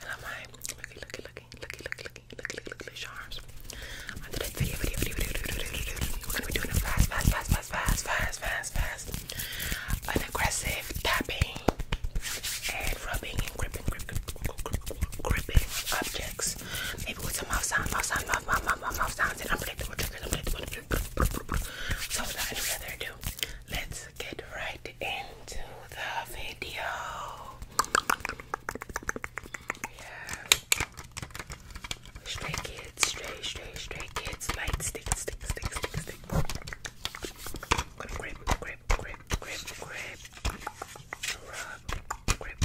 Hello my looky looky looky looky looky looky looky looky looky charms. On today's video video video video video video video we're gonna be doing a fast fast fast fast fast fast fast fast an aggressive tapping and rubbing and gripping gripping gripping objects. Maybe with some mouth sound mouth sound mouth mouth mouth mouth sounds and unpredictable so without further ado, let's get right into the video. Yeah. kids, stray, stray, stray kids, light stick, stick, stick, stick, stick. grip, grip, grip, grip, grip. Rub, grip.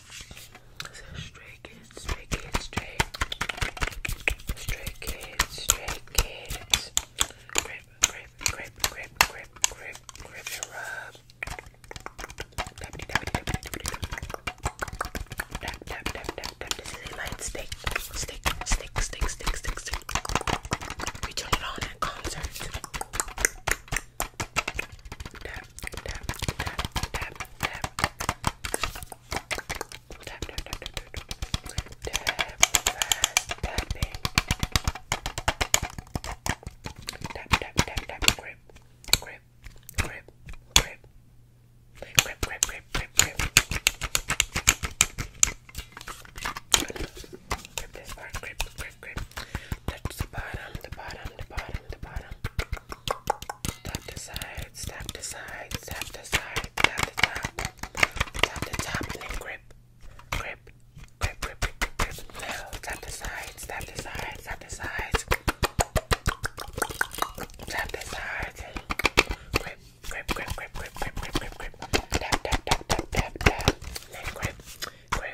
it says stray kids, stray kids, stray. Stray kids, stray kids. Grip, grip, grip, grip, grip, grip, grip and rub. Tap, tap, tap, tap, tap, tap, tap, tap, tap. This is a light stick, stick, stick, stick, stick, stick, stick. We turn it on at concerts. Tap, tap, tap, tap, tap. Tap, tap, tap, tap, tap. Tap, tapping. Tap, tap, tap, tap. Grip, grip, grip, grip. Grip, grip, grip, grip, grip. Grip this part, grip, grip, grip. Touch the bottom, the bottom, the bottom, the bottom. Tap the sides, tap the sides, tap the sides, tap the top. Tap the top and then grip. Grip, grip, grip, grip, grip, grip. Now tap the sides, tap the sides, tap the sides. Tap the sides and grip, grip, grip, grip, grip, grip, grip, grip, grip. Tap, tap, tap, tap, tap, tap. And then grip, grip,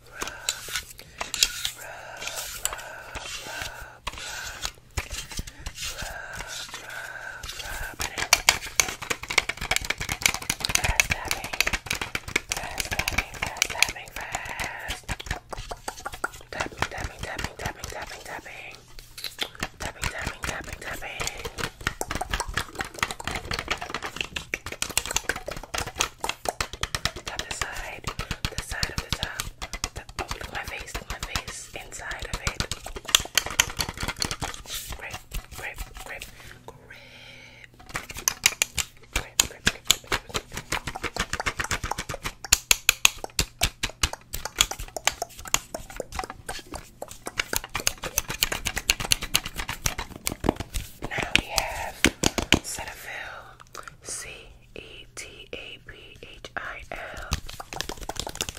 rub, rub, rub, rub, rub. Rub, rub, rub it in. Fast tapping. Fast tapping, fast tapping, fast. Tapping, tapping, tapping, tapping, tapping, tapping. Tapping, tapping, tapping, tapping. Got the side, the side of the top. my face, my face, inside of it. Grip, grip, grip, grip. Now we have Cetaphil C E T A B H I L.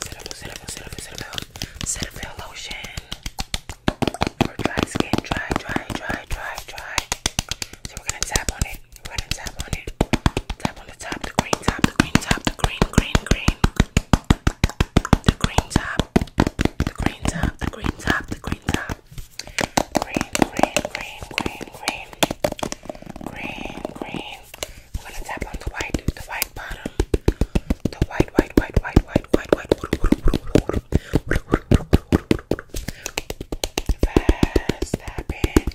Cetaphil, Cetaphil, Cetaphil, Cetaphil. Cetaphil lotion. For dry skin, dry, dry, dry, dry, dry. So we're gonna tap on it. We're gonna tap on it. Tap on the top, the green top, the green top, the green, green, green. The green top, the green top, the green top, the green top. Green, green, green, green, green. Green, green. We're gonna tap on the white, the white bottom. The white, white, white, white, white, white, white. Fast tapping.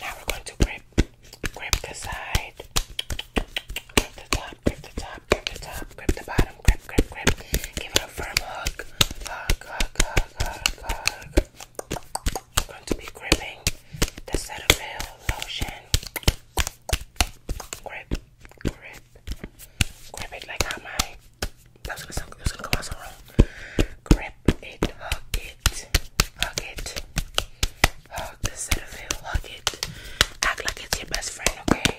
Now we're going to grip, grip the side, grip the top, grip the top grip the top, grip the bottom, grip, grip, grip. Give it a firm hug. Hug, hug, hug, hug, hug. i going to be gripping the Cetaphil lotion. Grip, grip, grip it like how my. That was gonna sound, it was gonna come out so wrong. Grip it, hug it, hug it, hug the Cetaphil, hug it. Act like it's your best friend, okay?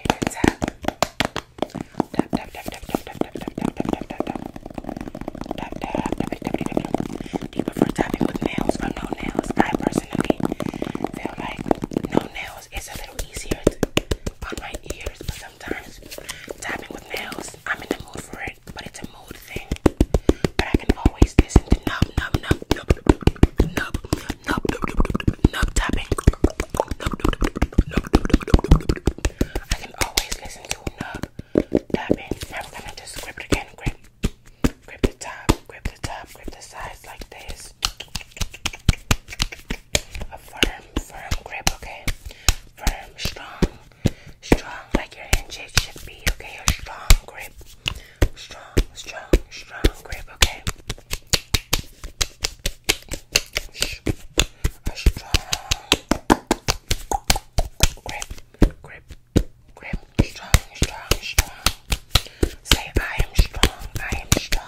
Tap tap tap tap tap tap tap tap tap tap tap tap tap. Tap tap tap tap tap. Do you prefer tapping with nails or no nails? I personally feel like no nails is a little easier to, on my ears, but sometimes tapping with nails, I'm in the mood for it, but it's a mood thing. But I can always listen to nub nub nub nub nub nub nub, tapping. I can always listen to nub tapping. Now we're gonna just grip it again. Grip, grip the top, grip the top, grip the sides like this. firm, firm grip, okay? Firm, strong, strong, like your handshake should be, okay? strong grip, strong, strong, strong grip, okay? a strong grip, grip, grip, strong, strong, strong. Say, I am strong, I am strong.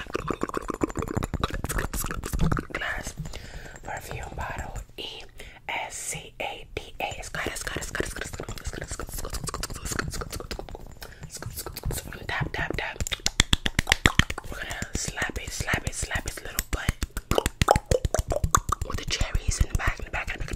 glass perfume bottle E S C A D A. It's got it's got it's got it's got it's got it's got it's got it's got it's got it's got it's got tap tap tap. We're gonna slap it, slap it, slap its little butt with the cherries in the back, in the back, in the back.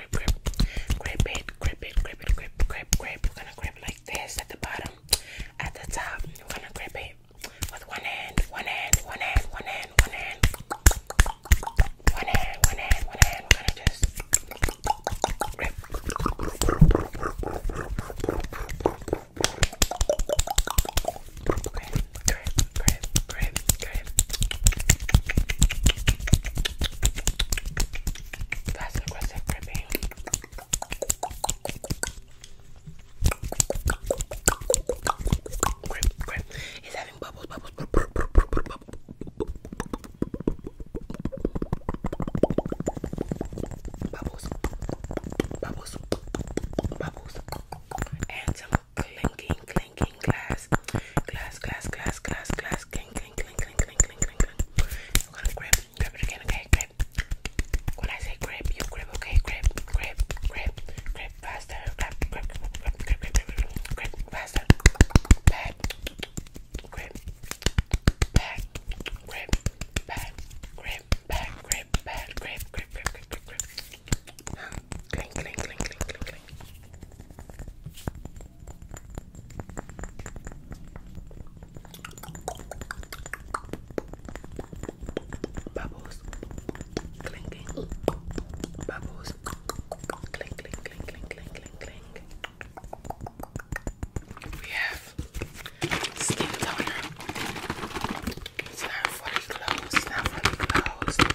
grip, grip, grip it, grip it, grip grip, grip, grip. We're gonna grip like this at the bottom, at the top. We're gonna grip it with one hand, one hand, one hand, one hand, one hand, one hand, one hand, We're gonna just grip grip, grip, grip, grip. That's aggressive gripping. Grip, grip. He's having bubbles, bubbles, bubbles, bubbles. Bubbles, bubbles, bubbles, and some clinking, clinking glass, glass, glass, glass, glass, glass, clink, clink, clink, clink, clink, clink, clink, clink. I'm gonna grip, grip it again, okay, grip. When I say grip, you grip, okay, grip, grip, grip, grip faster, grip, grip, grip, grip, grip, grip, grip, grip faster, back, grip, back, grip, back, grip, back, grip, back, grip, grip, grip, grip, grip, grip, grip. Clink, clink, clink, clink, clink, Bubbles, clinking. Bubbles, clink, We have skin toner. It's not fully closed. Not fully closed.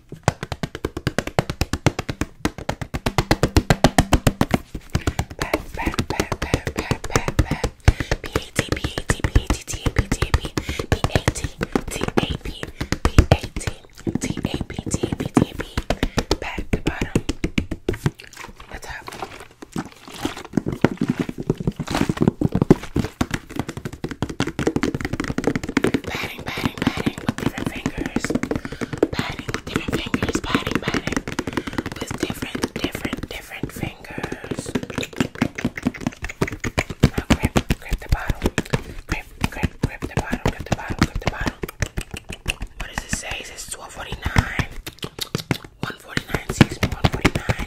Pat, pat, pat, pat, pat, pat, pat. P A T P A T P A T T A P T A P P A T T A P P A T T A P T A P T A P. Pat the bottom, the top. Patting, patting, patting, with different fingers. Patting with different fingers. Patting, patting with different, different, different fingers. Now grip, the bottle. Grip, grip, grip the bottle. Grip the bottle. Grip the bottle. What does it say? It says 1249. 149, excuse 149.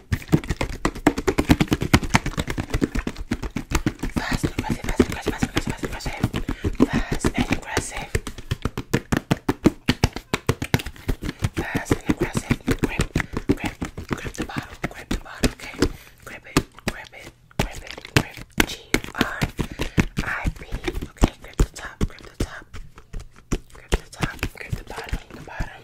Fast and aggressive, fast and aggressive, fast and aggressive, fast and aggressive. Fast and aggressive. Fast and aggressive. Grip, grip, grip the bottle, grip the bottle, okay? Grip it, grip it, grip it, grip. G-R-I-P. Okay, grip the top, grip the top. Grip the top, grip the bottom, the bottom.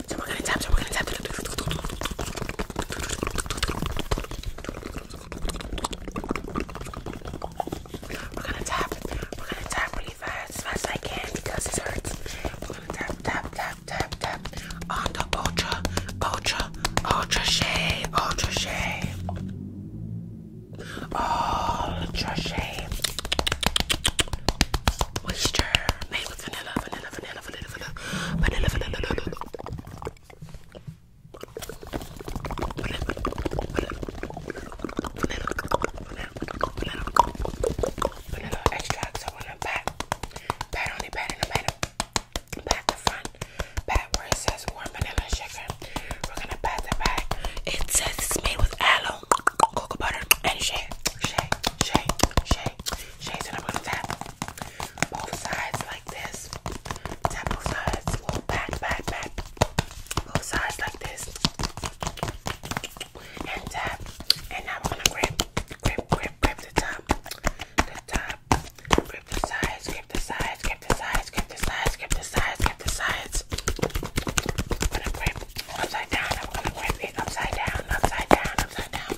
So we're gonna tap, so we're gonna tap. We're gonna tap, we're gonna tap really fast, as fast as I can because it hurts. We're gonna tap, tap, tap, tap, tap on the ultra, ultra, ultra shade, ultra shade. Ultra shade. Moisture made with vanilla, vanilla, vanilla vanilla, vanilla, vanilla, vanilla, vanilla, vanilla. Vanilla extracts. I want to pat, pat on the pat in the middle, the front, pat where it says warm vanilla sugar. We're gonna pat the back. It says it's made with aloe, cocoa butter, and shake, shake, shake, shake, Chasing up gonna tap both sides like this. Tap both sides. Well, back, back, back. Both sides like this. And tap. And now we gonna grip, grip, grip, grip the top. The top. Grip the sides, grip the sides, grip the sides, grip the sides, grip the sides, grip the sides. I'm gonna grip upside down. I'm gonna grip it upside down, upside down, upside down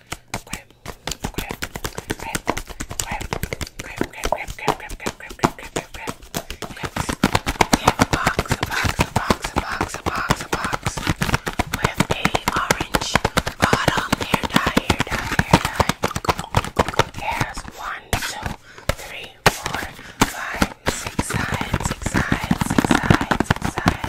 grab, grab, grab, grab, grab, grab, grab, grab, grab, grab, grab, grab, grab, grab, box, a box, a box, a box, a box, a box, with a orange bottom hair dye, hair dye, hair dye. Here's one, two, three, four, five, six sides, six sides, six sides, six sides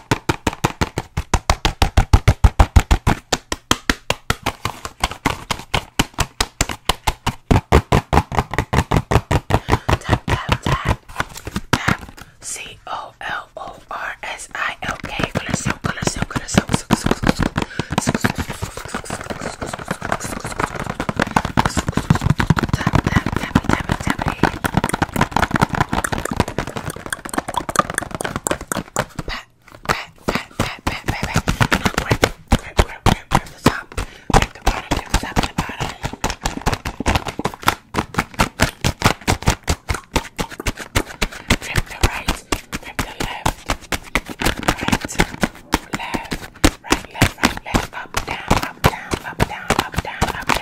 Tap, tap, tap, tap. C O L O R S I L K. Color silk, color silk, color silk, silk, silk, silk, silk, silk, silk, silk, silk, silk, silk, pat, pat, pat, pat, pat, pat, and I'll grip, grip, grip, grip, grip the top, grip the bottom, grip the top and the bottom. Grip the right, grip the left, right, left, right, left, right, left, up, down, up, down, up, down, up, down, up,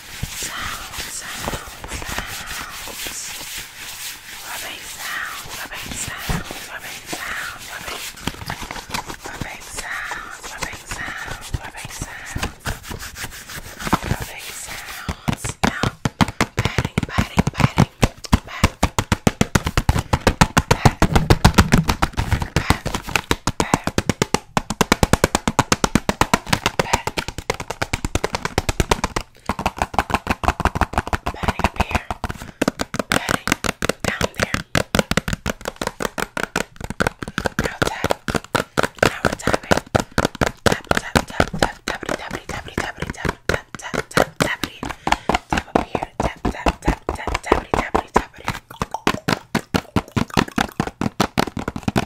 sound, sound, sounds. Rubbing sound, rubbing sound, rubbing sound, rubbing. Rubbing sound, rubbing sound, rubbing sound. Rubbing sounds. Now, patting, patting, patting, pat. Pat, pat, pat, pat. Patting up here, patting down there. Now tap. Now we're tapping. Tap, tap, tap, tap, tappity, tappity, tappity, tappity, tap, tap, tap, tap, tappity. Tap up here. Tap, tap, tap, tap, tappity, tappity, tappity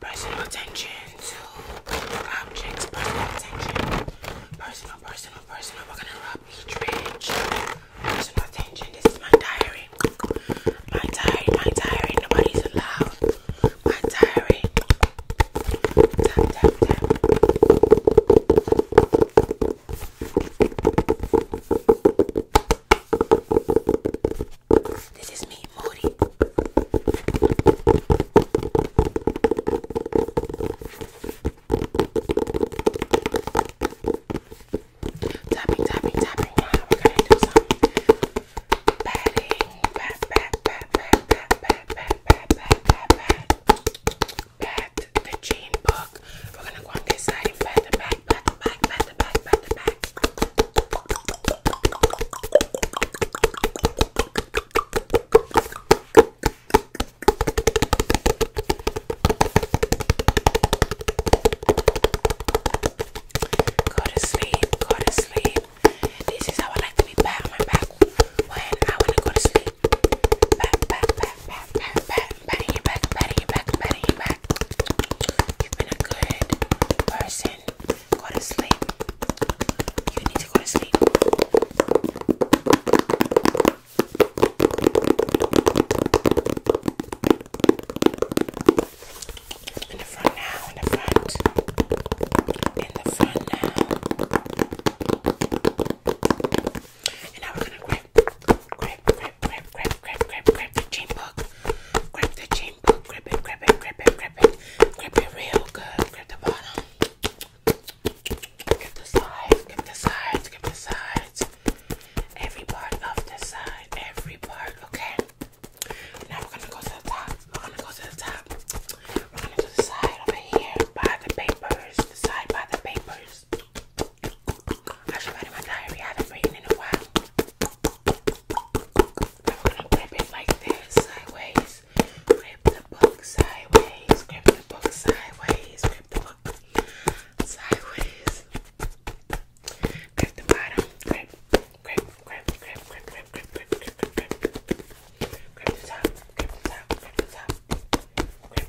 Personal attention to objects. Personal attention. Personal, personal, personal. We're gonna rub each ridge. Personal attention. This is my diary. My diary. My diary. Nobody's allowed. My diary. Tap tap tap. This is me, Moody. Tapping, tapping, tapping. Now we're gonna do some patting. Pat, pat, pat, pat, pat, pat, pat, pat, pat, pat, pat, pat the chain book. We're gonna go on this side and pat the back, pat the back, pat the back, pat the back. Go to sleep, go to sleep. This is how I like to be pat on my back when I want to go to sleep. Pat, pat, pat, pat, pat, pat patting you back, patting you back, patting you back. You've been a good person. Go to sleep. You need to go to sleep. In the front now, in the front. In the front now. And now we're gonna grab, grab, grab, grab, grab, grab, grab, grab the chain book. Grab the chain book. Grab it, grab it, grab it, grab it. Grab it real good. Grab the bottom. Get the sides. Get the sides. Get the sides. Every part of the side. Every part. Okay. Now we're gonna go to the top. We're gonna go to the top. We're gonna do the side over here by the papers. The side by the papers. I should write in my diary. I haven't written in a while. I'm gonna grip it like this, sideways. Grip the book sideways. Grip the book sideways. Grip the book sideways. Grip the bottom. Grip, grip, grip, grip, grip, grip, grip, grip, grip, grip, grip. Grip the top. Grip the top. Grip the top. Grip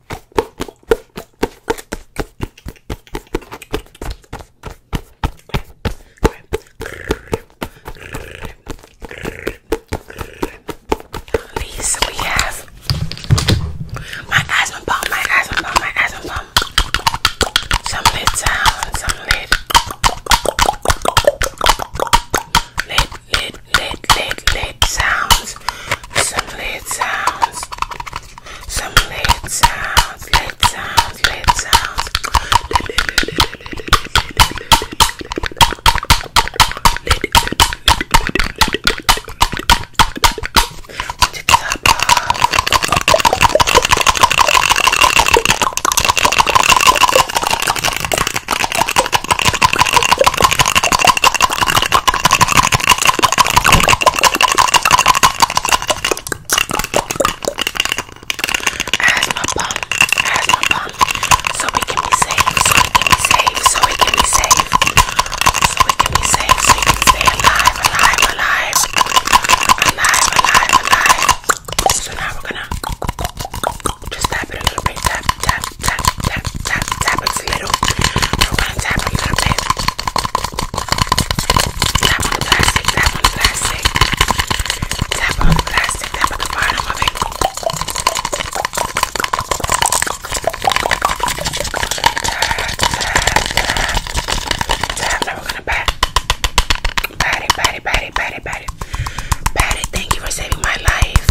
Lisa, we have my asthma bomb, my asthma bomb, my asthma bomb. Some lid down, some lid. Lid, lid, lit, lit, lit, sounds. Some lit sounds. Some lit sounds. Lit sounds. Lit sounds. Want you to top off. As my bum, as my bum, so we can be safe, so we can be safe, so we can be safe, so we can be safe, so you can stay alive, alive, alive, alive, alive, alive. So now we're gonna just tap it a little bit, tap, tap, tap, tap, tap it a little. We're gonna tap a little bit. Tap on the plastic, tap on the plastic. Tap on the plastic, tap on the bottom of it. Tap, tap, tap. Tap, now we're gonna pat. Pat it, pat it, pat it, pat it, pat it. Patty, thank you for saving my life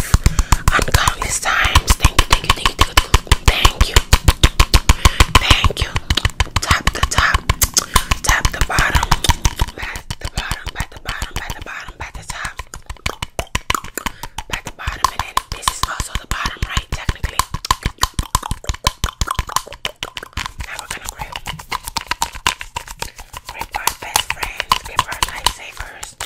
uncountless times. Thank you, thank you, thank you. Thank you. Tap the top, tap the bottom, back the bottom, back the bottom, back the bottom, back the top, back the bottom, and then this is also the bottom, right? Technically. Now we're gonna grip. Grip our best friends, grip our life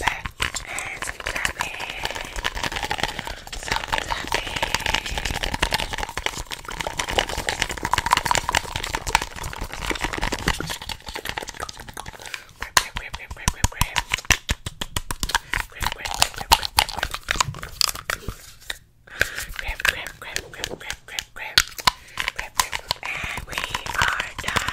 back and some clapping. Some clapping. Grip, grip, grip, grip, grip, grip. Grip, grip, grip, grip, grip, grip. Grip, grip, grip, grip, grip, And we are done.